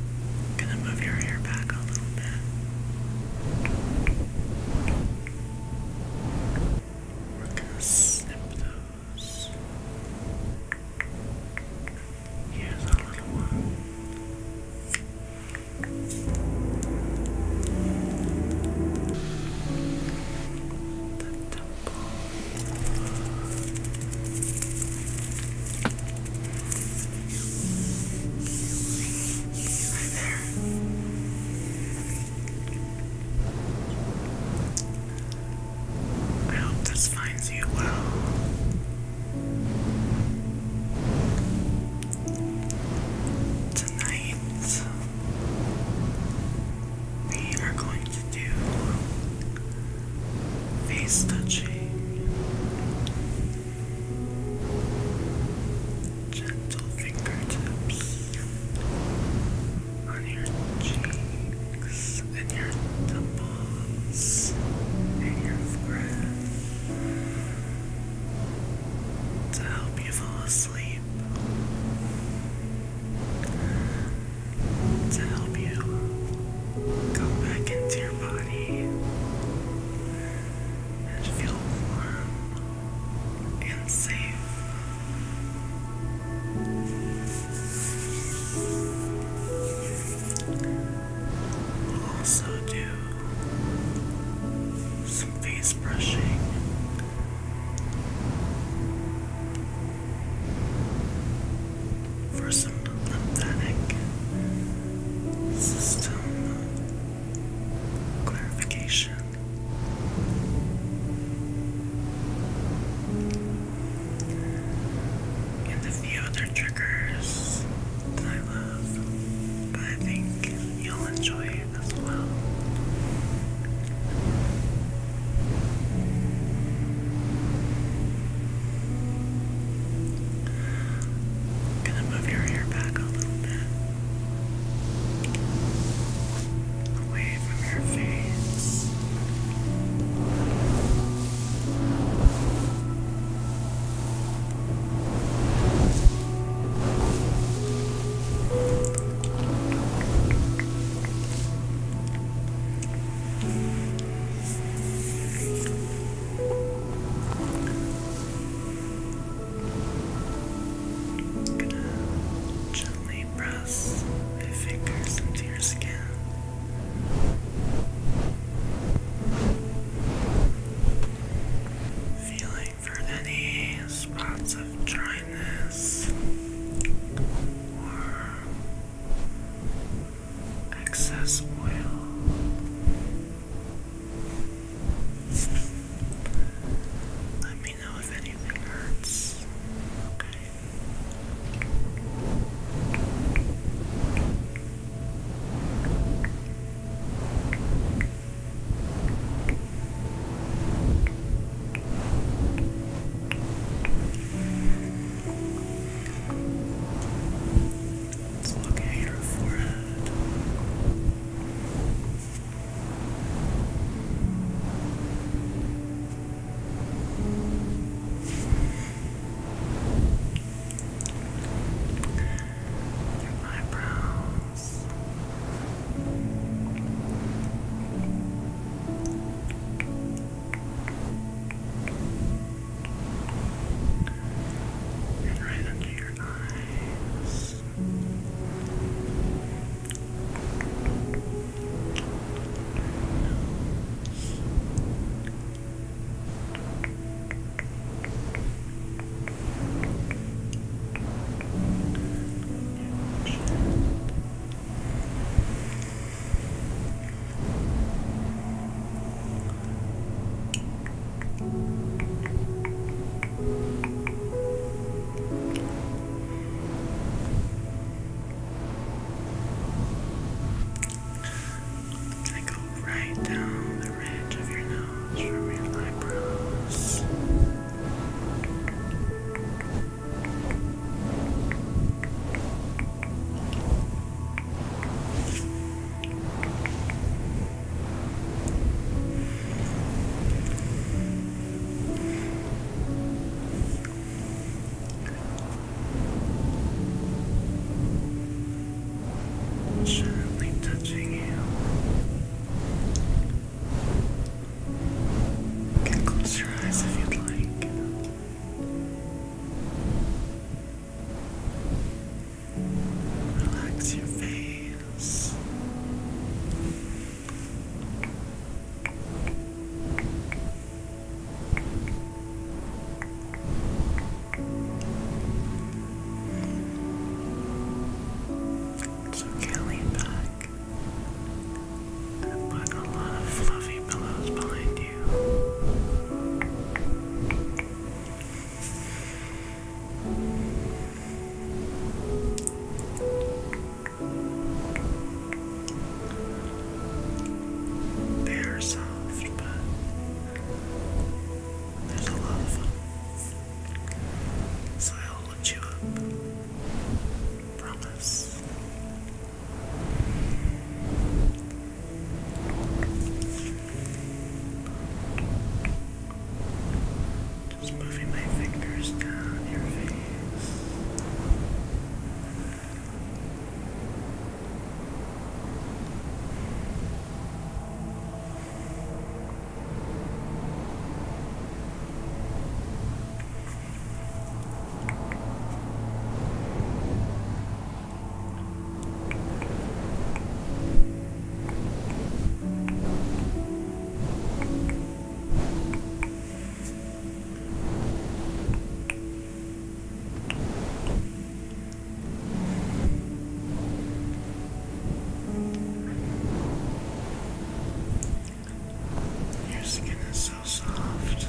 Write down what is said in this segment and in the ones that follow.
I'm gonna move your hair back a little bit. We're gonna snip those. Here's a little one. The temple. I hope this finds you well. Tonight, we are going to do face touching, gentle fingertips on your cheeks and your temples and your forehead to help you fall asleep. To help you Go back into your body and feel warm and safe. also do some face brushing for some lymphatic system clarification. And a few other triggers that I love, but I think you'll enjoy it as well. I'm gonna move your hair back a little bit. Away from your face. Good gently press my fingers into your skin. Feeling for any spots of dryness excess oil. Let me know if anything hurts. Okay. Let's look at your forehead. Your eyebrows. Your and right under your eyes. Nose. Your chin. I go right down the ridge of your nose from your eyebrows. Gently touching you. You can close your eyes if you'd like. Relax your face. So lean back and put a lot of fluffy pillows behind you. They are soft, but there's a lot of them. So I'll lift you up. Promise. Just moving my fingers down your face. Just your skin is so soft.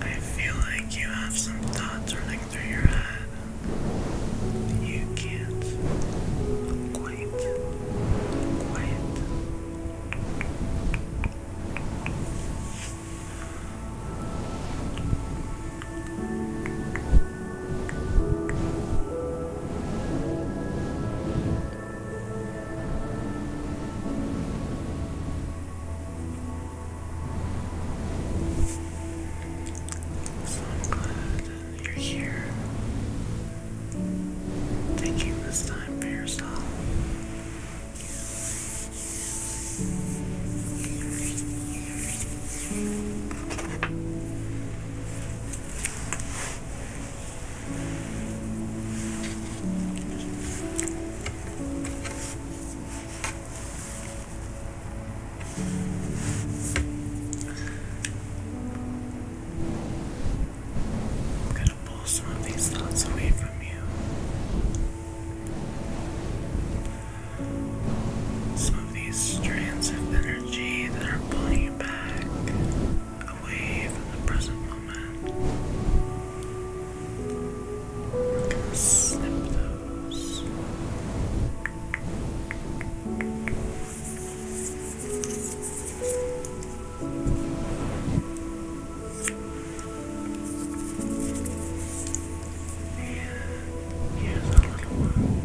I feel like you have some thoughts running through your head. You can't quite, quite. So I'm glad you're here, taking this time for yourself. I'm gonna pull some of these thoughts away from you. Some of these strands of energy that are pulling you back away from the present moment. snip those. here's a little one.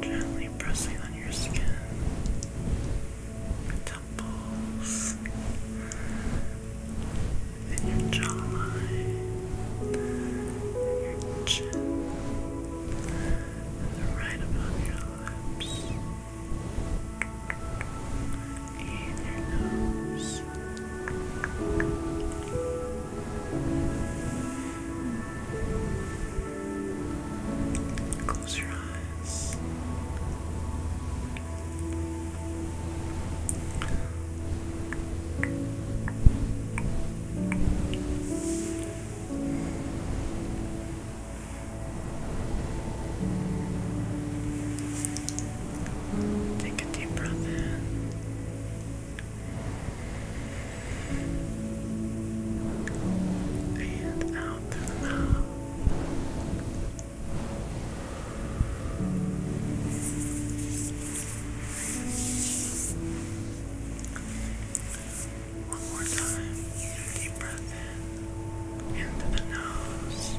Gently pressing on your skin, temples, and your jawline, and your chin, and right above your lips in your nose. Close your eyes. Relax. Take a deep breath in. And out through the mouth. One more time. Deep breath in. Into the nose.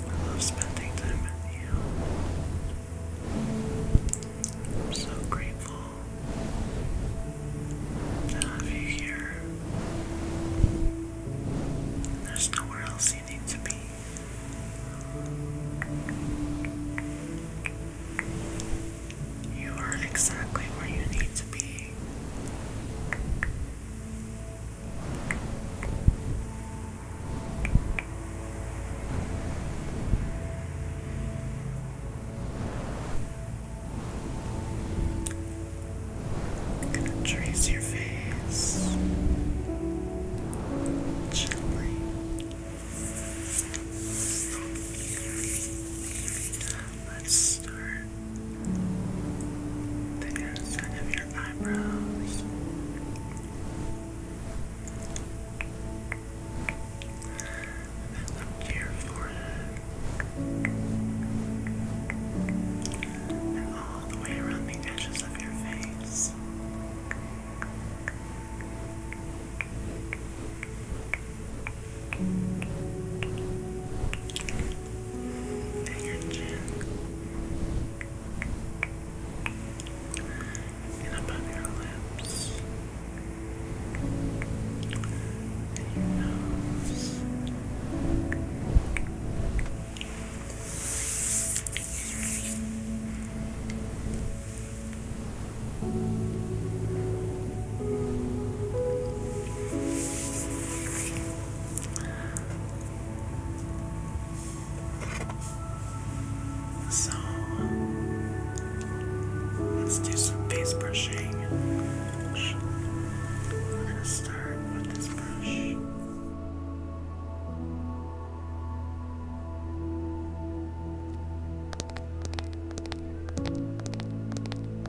I love spending time with you. I'm so grateful to have you here. There's nowhere else you need to be. You are exactly where you need to be. I'm gonna trace your face gently let's start the inside of your eyebrows. And up to your forehead. And all the way around the edges of your face and your chin, and above your lips, and your nose, and so let's do some face brushing. We're gonna start with this brush.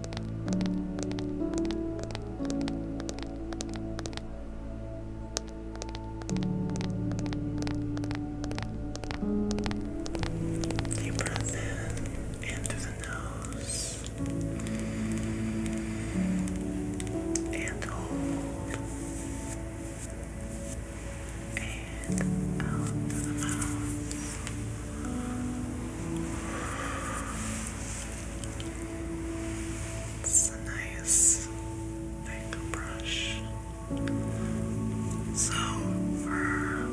Deep breath in through the nose, and hold, and out through the mouth. It's a nice thick brush. So for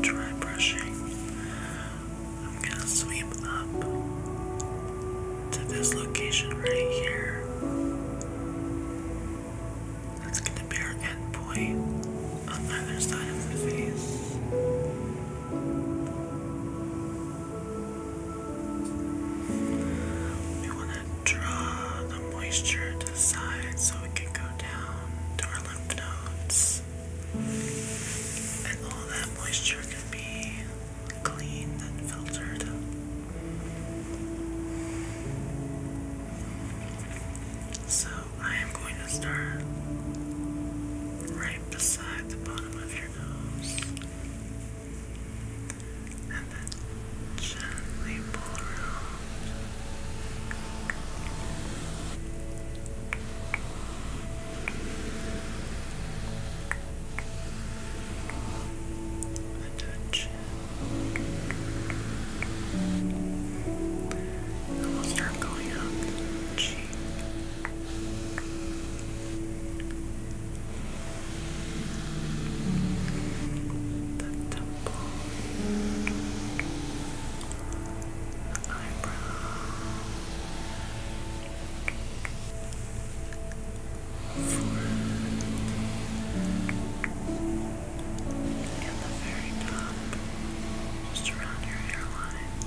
dry brushing, I'm gonna sweep up to this location right here. That's gonna be our end point on either side of the face. We want to draw the moisture to the side so it can go down to our lymph nodes. And all that moisture can be cleaned and filtered. So I am going to start right right beside the bottom of your nose. And then gently pull around. And touch. And we'll start going up the cheek the temple, the eyebrow, forehead, and the very top, just around your hairline. Good.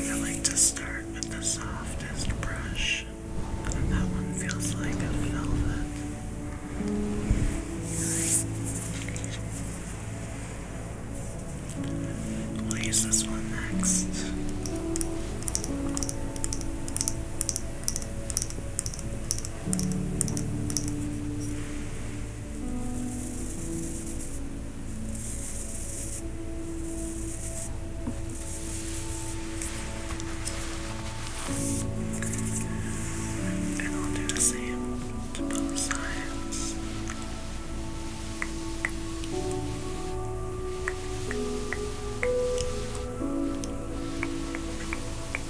I like to start with the softest brush, and that one feels like velvet. We'll use this one next. And I'll do the same to both sides. Good.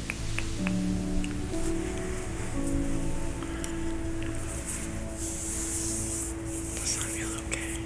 Does that feel okay? Good.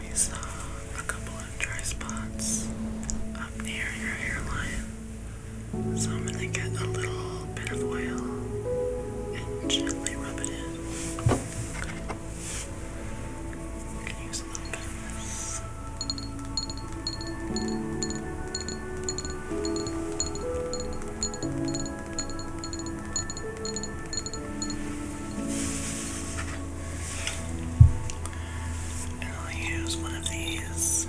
I saw a couple of dry spots up near your hairline, so I'm gonna get a little bit of oil and gently rub it in. can use a little bit of this. And i use one of these.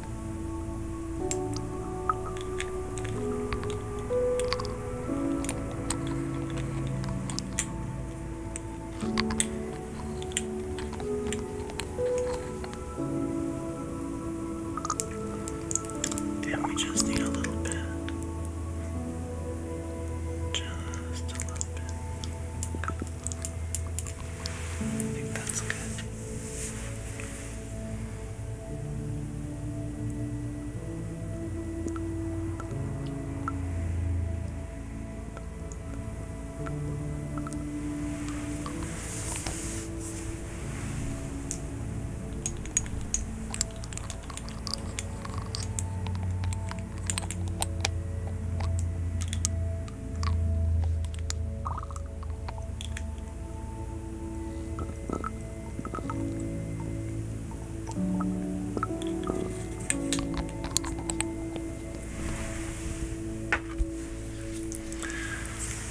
Then we just need a little bit. Just a little bit. I think that's good.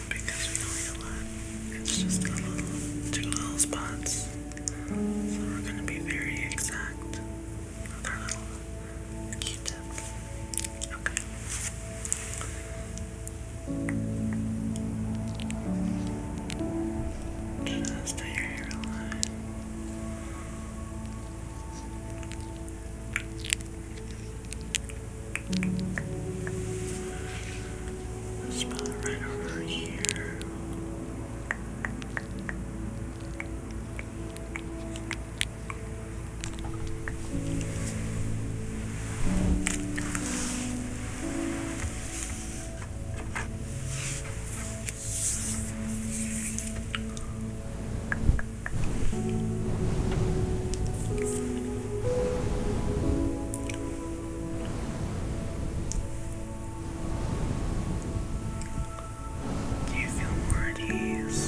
Because we don't it's just a little, two little spots. So we're going to be very exact with our little Q-tip. Okay. Just your hairline. This spot right over here. Do you feel more at ease?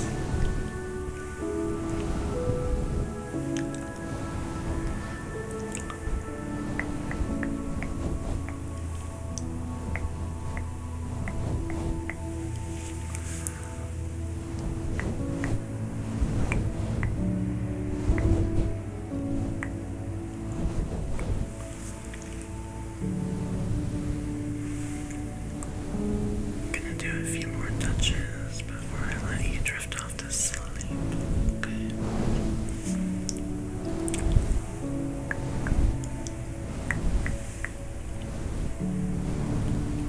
Gonna do a few more touches before I let you drift off to sleep.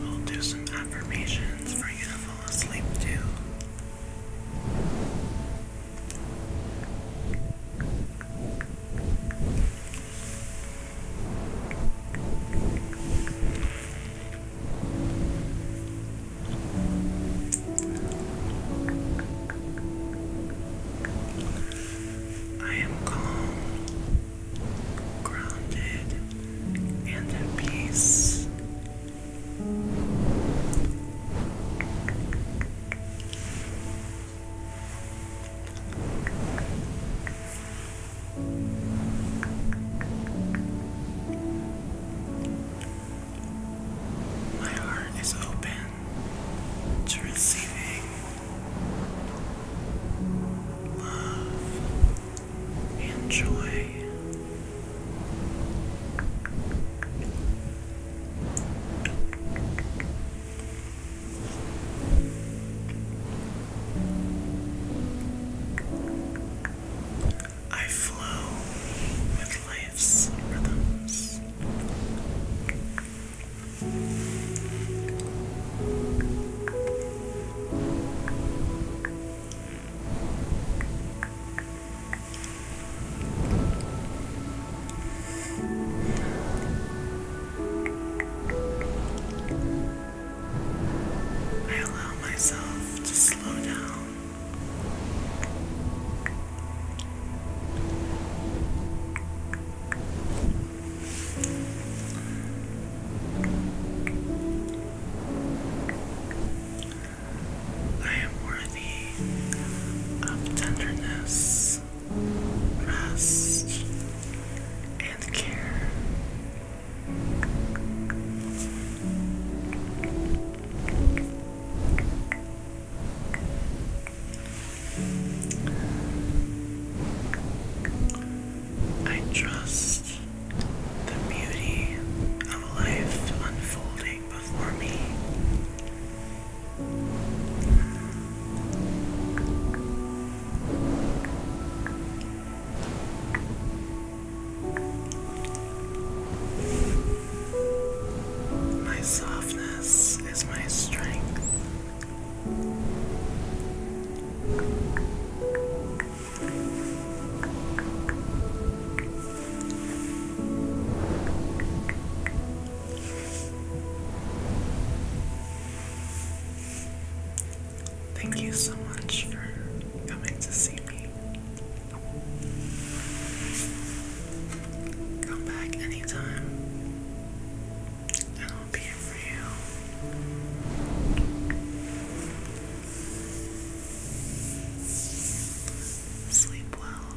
We'll do some affirmations for you to fall asleep too. I am calm, grounded, and at peace. My heart is open to receiving love and joy. I flow with life's rhythms. I allow myself to slow down. I am worthy of tenderness, rest, and care. I trust the beauty of life unfolding before me. My softness is my strength. Thank you so much for coming to see me. Come back anytime, I'll be here for you. Sleep well.